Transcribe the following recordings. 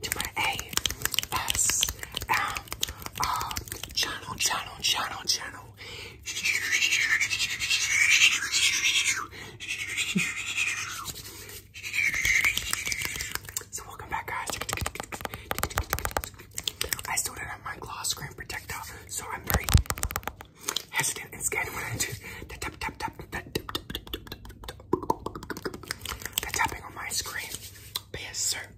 to my ASMR channel, channel, channel, channel. So welcome back, guys. I still don't have my gloss screen protector, so I'm very hesitant and scared when I do the tap tap tap that the tapping on my screen. But yes, sir.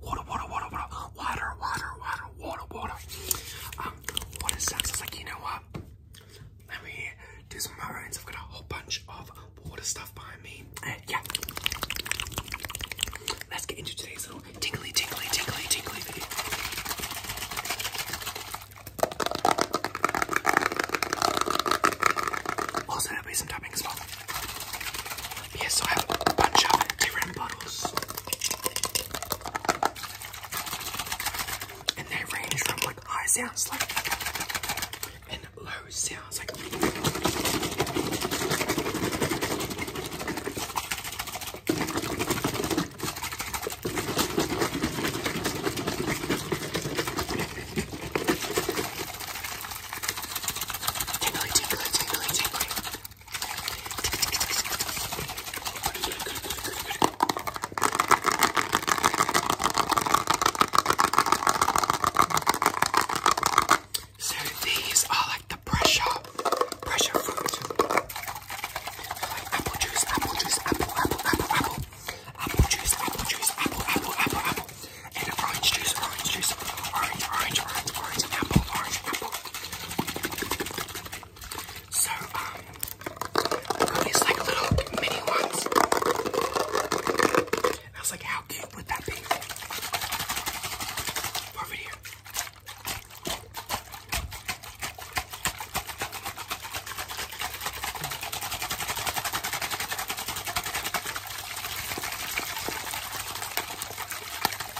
water, water, water, water, water, water, water, water, water. Um, what is that? So it's like, you know what? Let me do some of my rounds. I've got a whole bunch of water stuff behind me. Uh, yeah. Let's get into today's little tingly, tingly, tingly, tingly video. Also, there'll be some tapping as well. Yes, yeah, so I have a bunch of different bottles. And they range from like high sounds like and low sounds like Tingly, tingly, tingly, tingly. So these are like the pressure, pressure fruit. Like apple juice, apple juice, apple, apple, apple, apple. Apple juice, apple juice, apple, apple, apple, apple. And orange juice, orange juice, orange, orange, orange, orange, apple, orange, apple. So, um, I these like little mini ones. I was like, how cute would that be? Over here.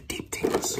get the deep tingles.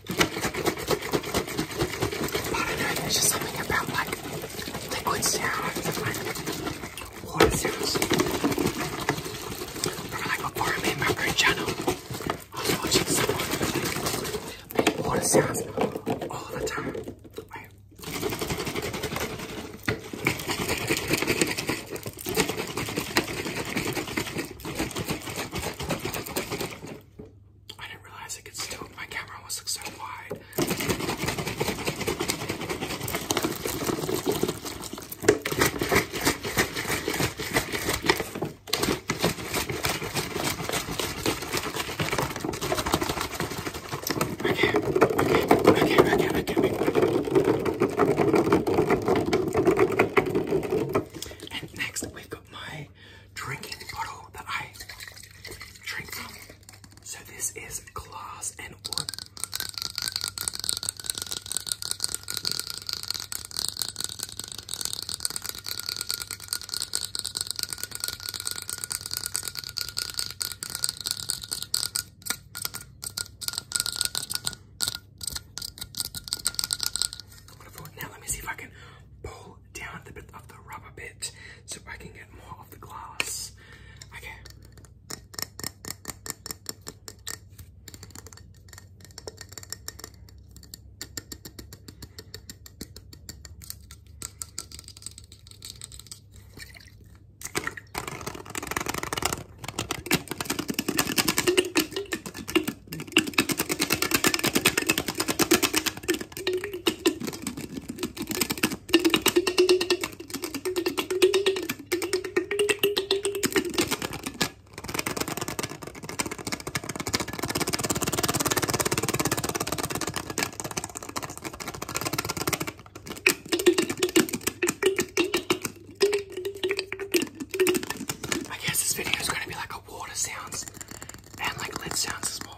I But not know there's just something about like liquid sounds like water sounds. like before I made my own channel, I was watching someone like water sounds all the time. I didn't realize it could still, my camera almost looks so wide. Okay, okay, okay, okay, okay, okay. And next we've got my drinking bottle that I drink from. So this is glass and wood. Now let me see if I can pull down the bit of the rubber bit so I can get more of the glass. Okay. I guess this video is going to be like a water sounds and like lid sounds as well.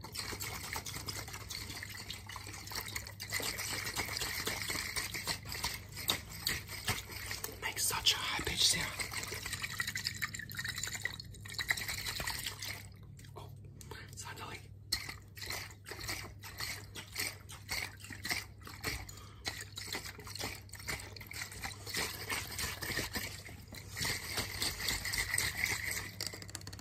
It makes such a high pitch sound. Oh, sounded like.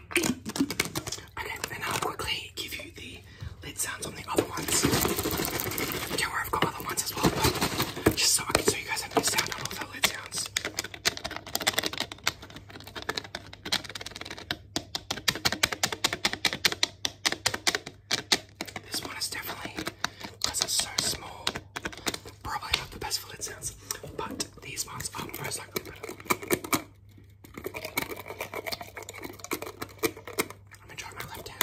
Okay, then I'll quickly give you the lid sounds on the other ones. Don't worry, I've got other ones as well, just so I can show you guys have a sound on all the lid sounds. This one is definitely, because it's so small, probably not the best for lid sounds, but these ones are most likely I'm gonna try my left hand.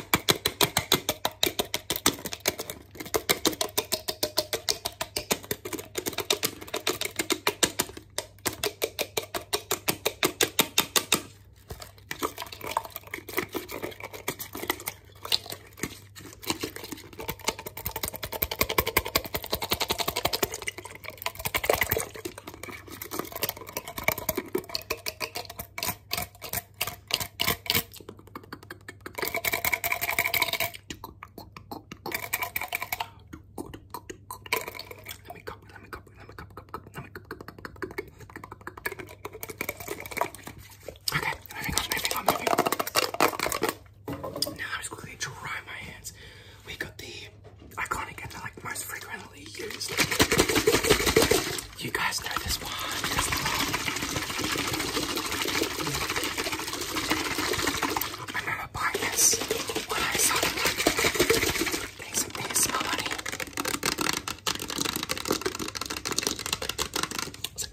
Let me copy, let me copy, let me copy, copy, let me copy, Okay, moving on, moving on, moving on. Now I'm just quickly dry my hands. We got the iconic and like most frequently used. You guys know this one. I remember buying this when I started getting some ASMR money.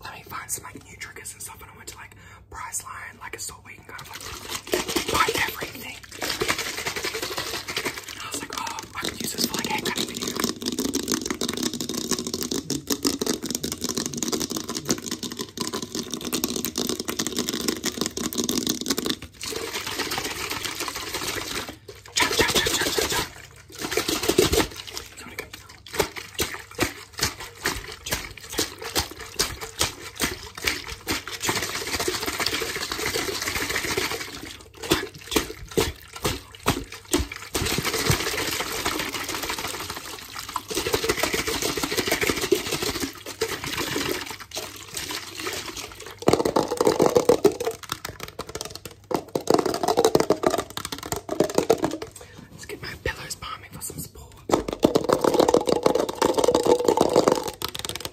let me find some like new triggers and stuff, and I went to like Priceline like, a soul, we can kind buy everything. I was like, oh, I could use this for like hair Let's get my pillows bombing for some support.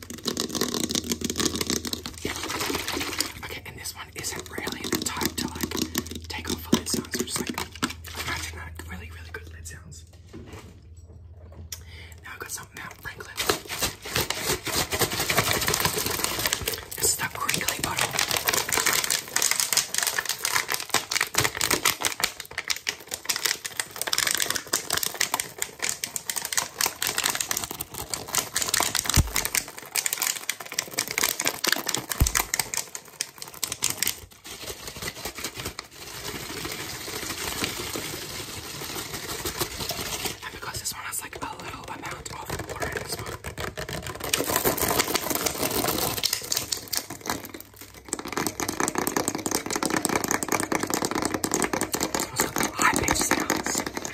Okay, and this one isn't really the type to like take off the lid sounds, just like imagine that really, really good lid sounds. Now I've got some Mount Franklin. This the crinkly bottle. And because this one has like a little amount of water in this one. Those are the high pitched sounds.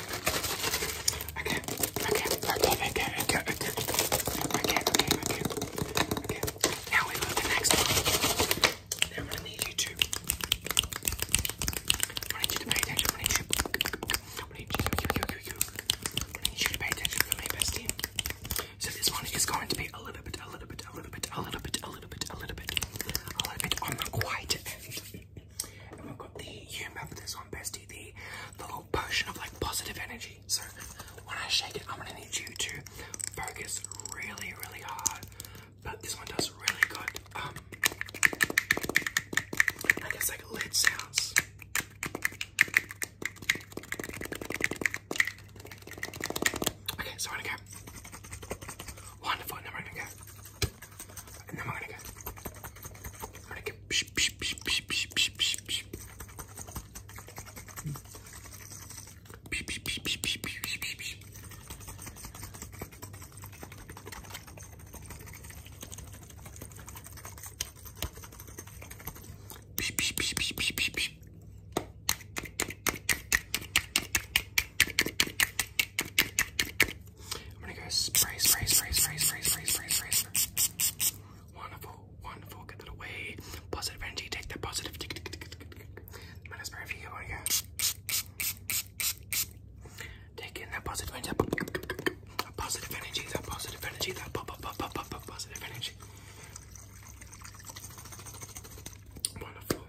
I can't, I can't, I can't, I can't, I can't, I can't, I can't, I can't, I can't, I can't. Now we go to the next one. Now I'm gonna need you to, I need you to pay attention, I need you, I need you, you, you, you, you, I need you to pay attention for me, bestie. So this one is going to be a little bit, a little bit, a little bit, a little bit, a little bit, a little bit, a little bit, a little bit on the quiet end. And we've got the, you remember this one, bestie, the, little potion of like positive energy. So when I shake it, I'm gonna need you to focus really, really hard. But this one does really good, um, I guess like lid sounds. Okay, so I'm gonna Wonderful, now we're gonna go. And then we're gonna go. I'm gonna go. Psh, psh, psh, psh, psh, psh, psh, psh. Psh, psh, psh, psh, psh, psh, psh, psh. Psh, psh, psh, psh, psh, psh, psh. I'm gonna go spray, spray, spray, spray, spray, spray, spray, spray. spray. Wonderful, wonderful. Get that away. Positive energy. Take that positive. I'm gonna spray for you on here. Take in that positive energy. That positive energy. That positive energy. That pop, pop, pop, pop, pop, positive energy. Wonderful.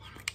Wonderful.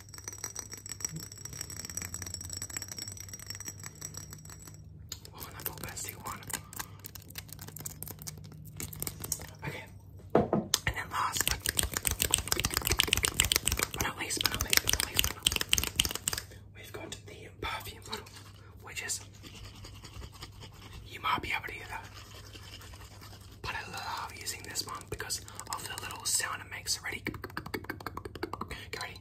Oh, not the bestie one. Okay. And then last, but, not least, but not least, but not least, we've got the perfume bottle, which is, you might be able to hear that, but I love using this one because of the little sound it makes already. Get ready.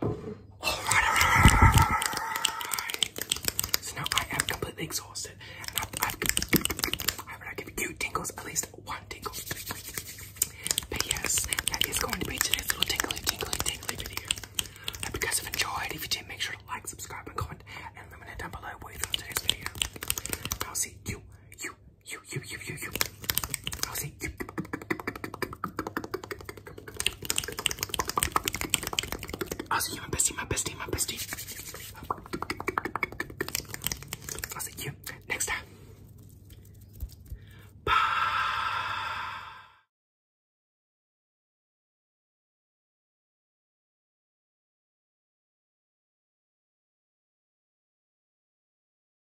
So now I am completely exhausted, and I've, I've, I've, you tingles, at least one tingle. But yes, that is going to be today's little tingly, tingly, tingly video. Hope you guys have enjoyed. If you did, make sure to like, subscribe, and comment, and let me know down below what you thought of today's video. I'll see you, you, you, you, you, you, you. I'll see. I'll see you, my bestie, my bestie, my bestie. I'll see you next time. Bye.